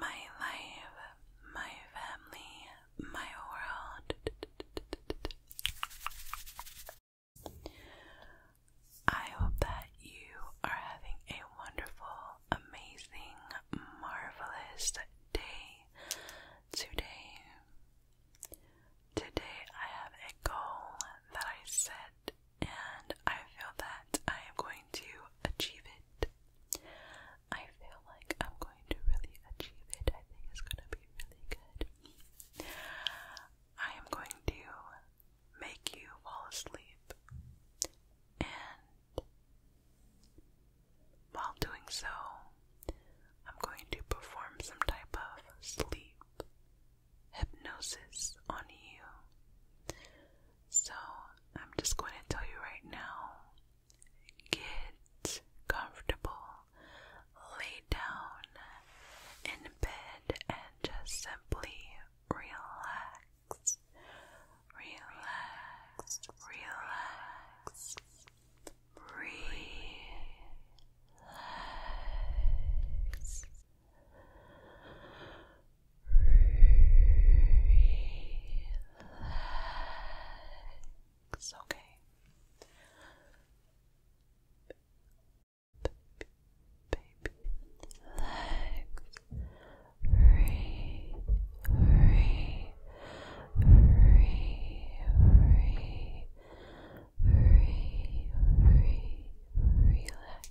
my life, my family, my world. I hope that you are having a wonderful, amazing, marvelous day today. Today, I have a goal that I set and I feel that I am going to achieve it. I feel like I'm going to really achieve it. I think it's going to be really good. I am going to make you fall asleep, and while doing so, I'm going to perform some type of sleep hypnosis on you. So, I'm just going to tell you right now get comfortable, lay down in bed, and just simply relax. Relax, relax, relax. Relax, okay. Baby, relax, re, re, re, re, re, relax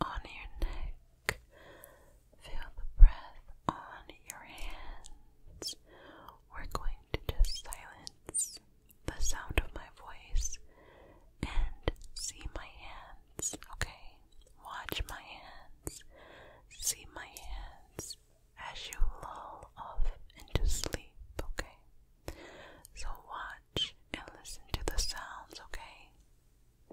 on your neck. Feel the breath on your hands. We're going to just silence the sound of my voice and see my hands, okay? Watch my hands, see my hands as you lull off into sleep, okay? So watch and listen to the sounds, okay?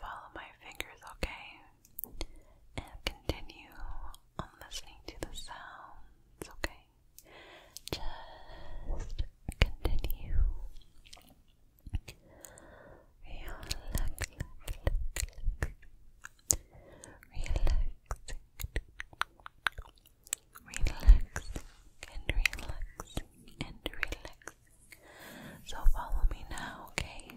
Follow my fingers, okay? And continue on listening to the sounds, okay? Just continue. Relax, relax, relax. Relaxing and relaxing and relaxing. So follow me now, okay?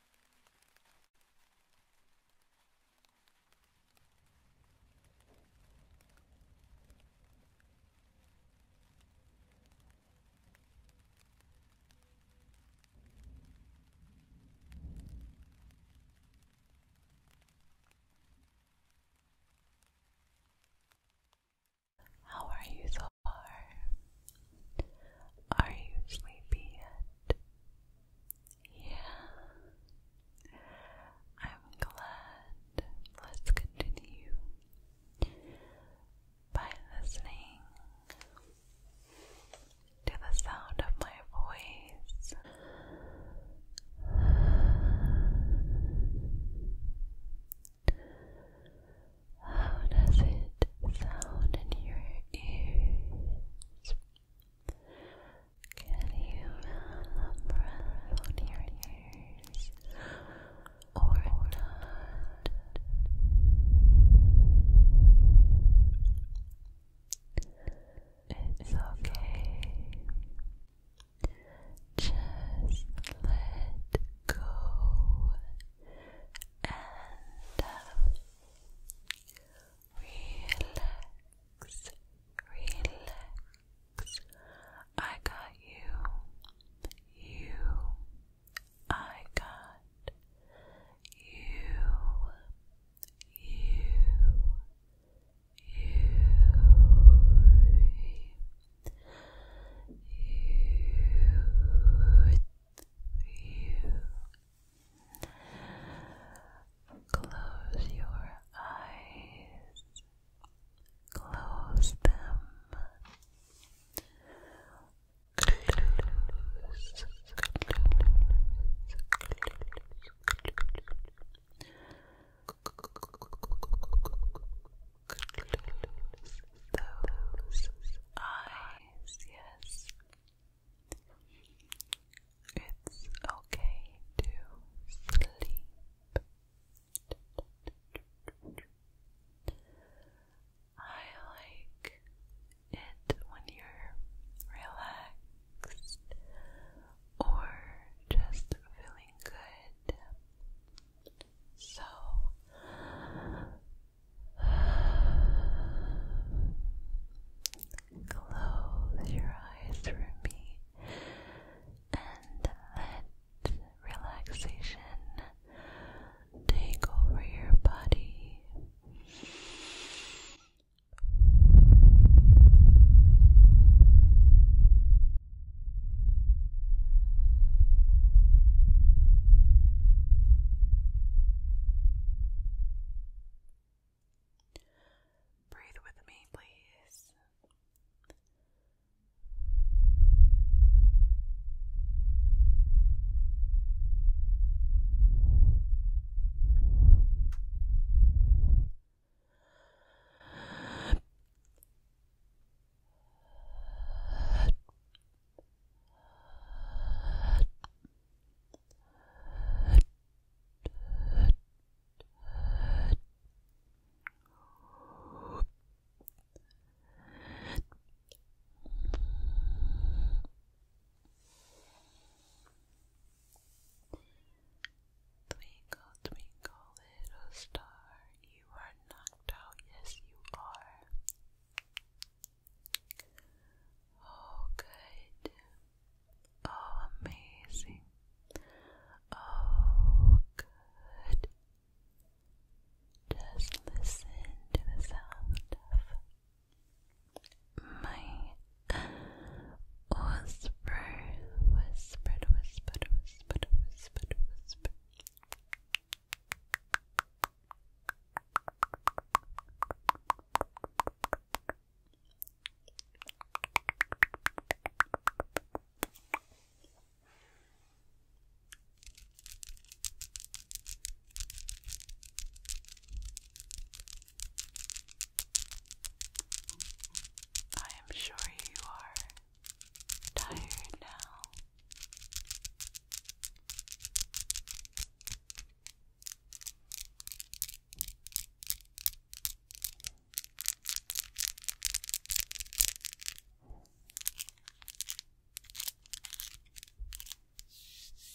How are you so far? Are you sleepy yet? Yeah. I'm glad. Let's continue by listening to the sound of my voice. How does it sound in your ears? Can you remember around your ears or not? It's okay. Just let go and uh, Relax, relax. I got you. You. I got you. You. You. You you. Close your eyes. Close them. Close, those eyes eyes, yes. It's okay to sleep. I like it when you're relaxed or just feeling good. So, Close your eyes for me and let relaxation take over your body. Breathe with me, please. Twinkle, twinkle, little star, you are knocked out, yes, you are. Oh, good. Oh, amazing. Oh, good. Just listen to the sound of my whisper, whispered, whispered, whispered, whispered, whispered. I am sure you are tired now.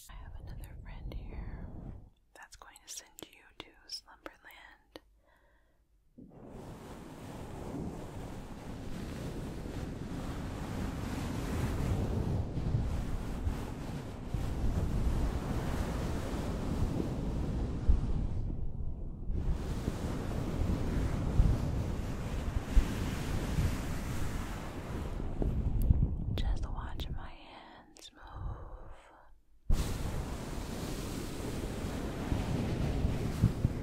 I have another friend here that's going to send you to Slumberland. Just watch my hands move.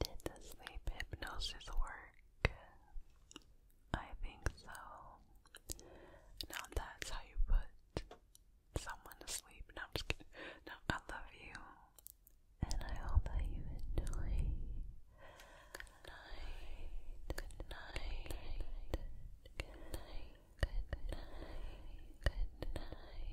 Did the sleep hypnosis work? I think so. Now that's how you put someone to sleep. No, I'm just kidding. No, I love you. And I hope that you enjoy. Good night. Good night. Good night. Good night. Good night. Good night.